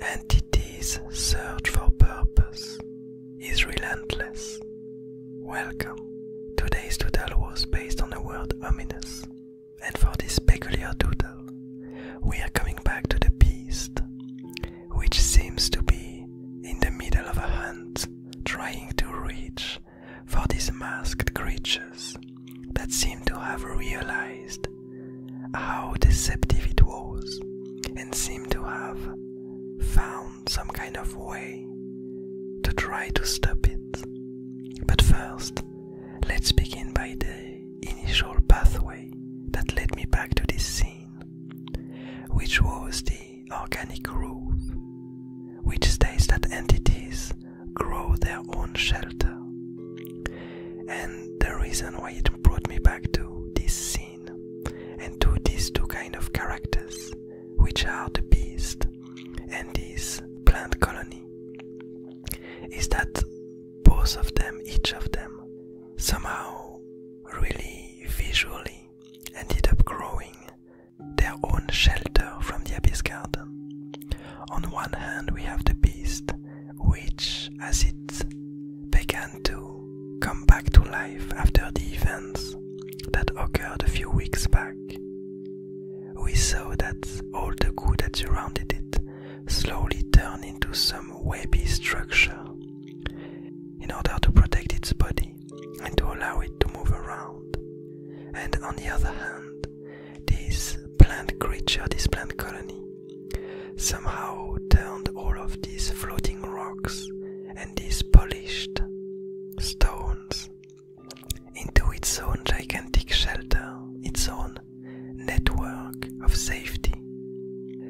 Entities search for purpose is relentless. Welcome. Today's doodle was based on the word ominous, and for this peculiar doodle, we are coming back to the beast, which seems to be in the middle of a hunt, trying to reach for these masked creatures that seemed to have realized how deceptive it was and seemed to have found some kind of way to try to stop it. But first, let's begin by the initial pathway that led me back to this scene, which was the organic groove, which states that entities grow their own shelter. And the reason why it brought me back to this scene and to these two kind of characters, which are the beast and this plant colony, is that both of them, each of them, somehow really visually ended up growing their own shelter from the abyss garden. On one hand, we have the beast, which, as it began to come back to life after the events that occurred a few weeks back, we saw that all the goo that surrounded it slowly turned into some webby structure in order to protect its body and to allow it to move around. And on the other hand, this plant creature, this plant colony, somehow turned all of these floating rocks and these polished stones into its own gigantic shelter, its own network of safety.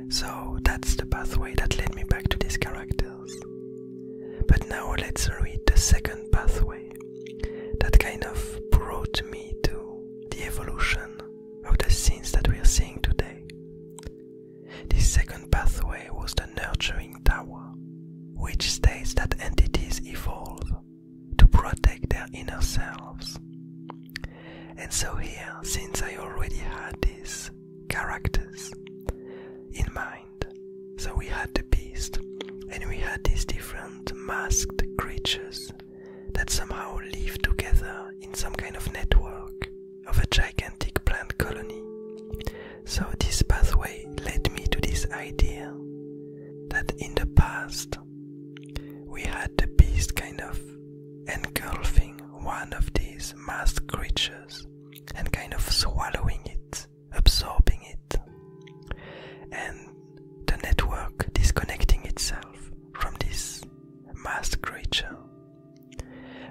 So that's the pathway that led me back to these characters. But now let's read the second pathway. That kind of brought me to the evolution of the scenes that we are seeing today. The second pathway was the nurturing tower, which states that entities evolve to protect their inner selves. And so, here, since I already had these characters in mind. So we had the beast, and we had these different masked creatures that somehow live together in some kind of network of a gigantic plant colony. So this pathway led me to this idea that in the past we had the beast kind of engulfing one of these masked creatures and kind of swallowing it absorbing it, and the network disconnecting itself from this mass creature.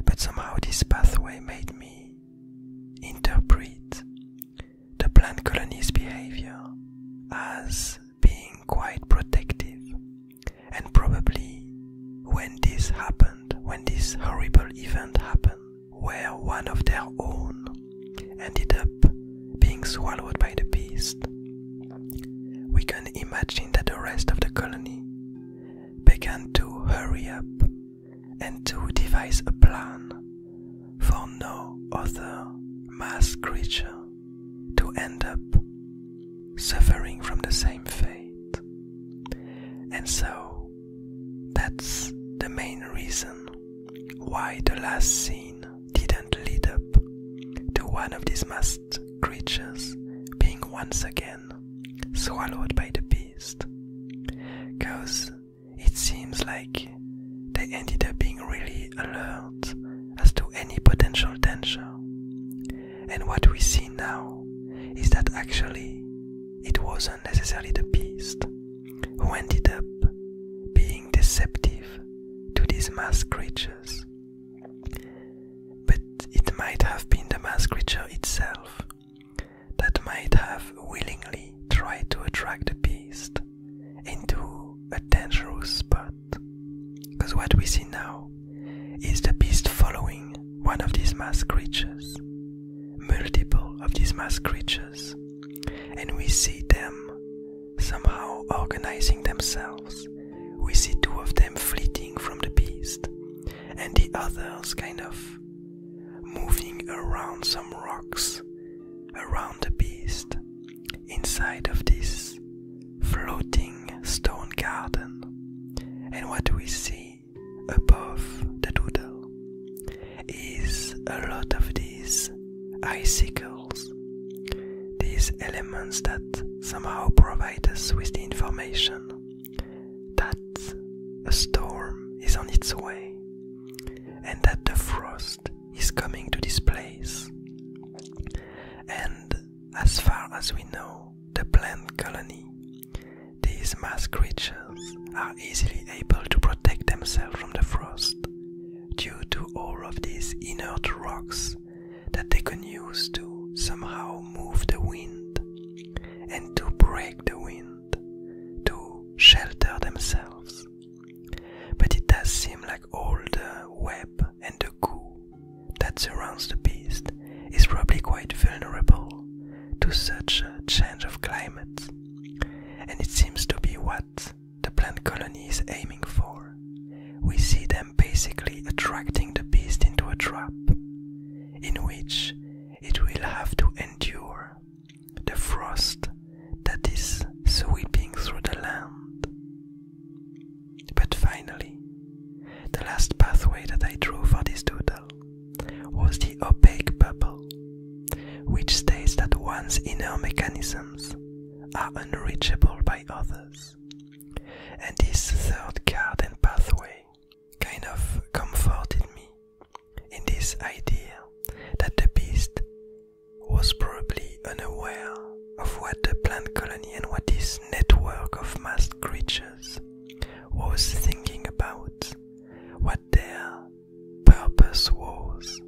But somehow this pathway made me interpret the plant colony's behavior as being quite protective, and probably when this happened, when this horrible event happened. Where one of their own, ended up being swallowed by the beast. We can imagine that the rest of the colony began to hurry up and to devise a plan for no other mass creature to end up suffering from the same fate. And so that's the main reason why the last scene didn't lead up to one of these masked creatures being once again swallowed by the beast. Cause it seems like they ended up being really alert as to any potential danger. And what we see now is that actually it wasn't necessarily the beast who ended up being deceptive to these mass creatures, but it might have been the mass creature itself that might have willingly tried to attract the beast into a dangerous spot. Because what we see now is the beast following one of these mass creatures? Multiple of these mass creatures, and we see them somehow organizing themselves. We see two of them fleeting from the beast, and the others kind of moving around some rocks around the beast inside of this floating stone garden. And what do we see above the doodle is a lot of these icicles, these elements that somehow provide us with the information that a storm is on its way and that the frost is coming to this place. And as far as we know, the plant colony. These mass creatures are easily able to protect themselves from the frost due to all of these inert rocks that they can use to somehow move the wind and to break the wind, to shelter themselves. But it does seem like all the web and the goo that surrounds the beast is probably quite vulnerable to such a change of climate, and it seems to be what the plant colony is aiming for. We see them basically attracting the beast into a trap in which it will have to endure the frost that is sweeping through the land. But finally, the last pathway that I drew for this doodle was the opaque purple, which states that one's inner mechanisms are unreachable by others. And this third garden pathway kind of comforted me in this idea that the beast was probably unaware of what the plant colony and what this network of mass creatures was thinking about, what their purpose was.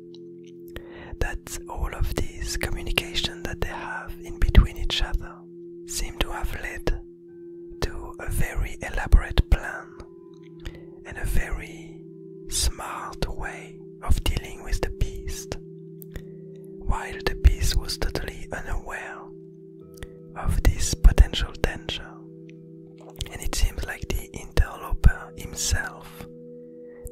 That all of these communication that they have in between each other seem to have led to a very elaborate plan in a very smart way of dealing with the beast, while the beast was totally unaware of this potential danger. And it seems like the interloper himself,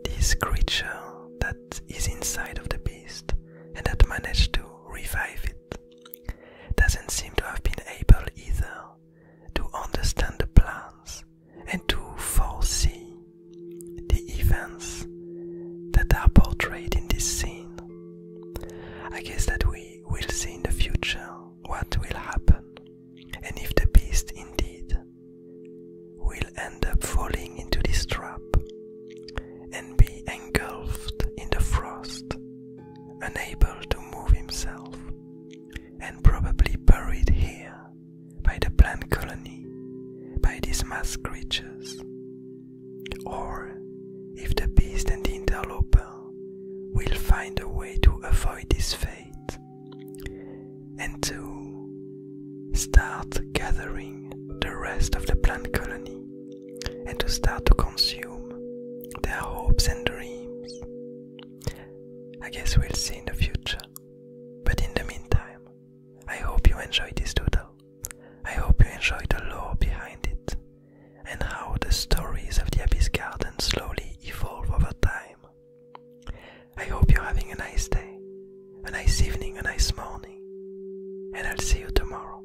this creature that is inside of the beast and that managed to revive it, doesn't seem to have been able either to understand the plans and to foresee the events that are portrayed in this scene. I guess that we will see in the future what will happen and if the beast indeed will end up falling into this trap and be engulfed in the frost, unable to move himself, and probably buried here by the plant colony, by these mass creatures. Or if the beast and the interloper will find a way to avoid this fate and to start gathering the rest of the plant colony and to start to consume their hopes and dreams. I guess we'll see in the future. But in the meantime, I hope you enjoyed this tutorial. I hope you enjoyed the lore behind it and how the stories of the Abyss Garden slowly evolve over time. I hope you're having a nice day, a nice evening, a nice morning, and I'll see you tomorrow.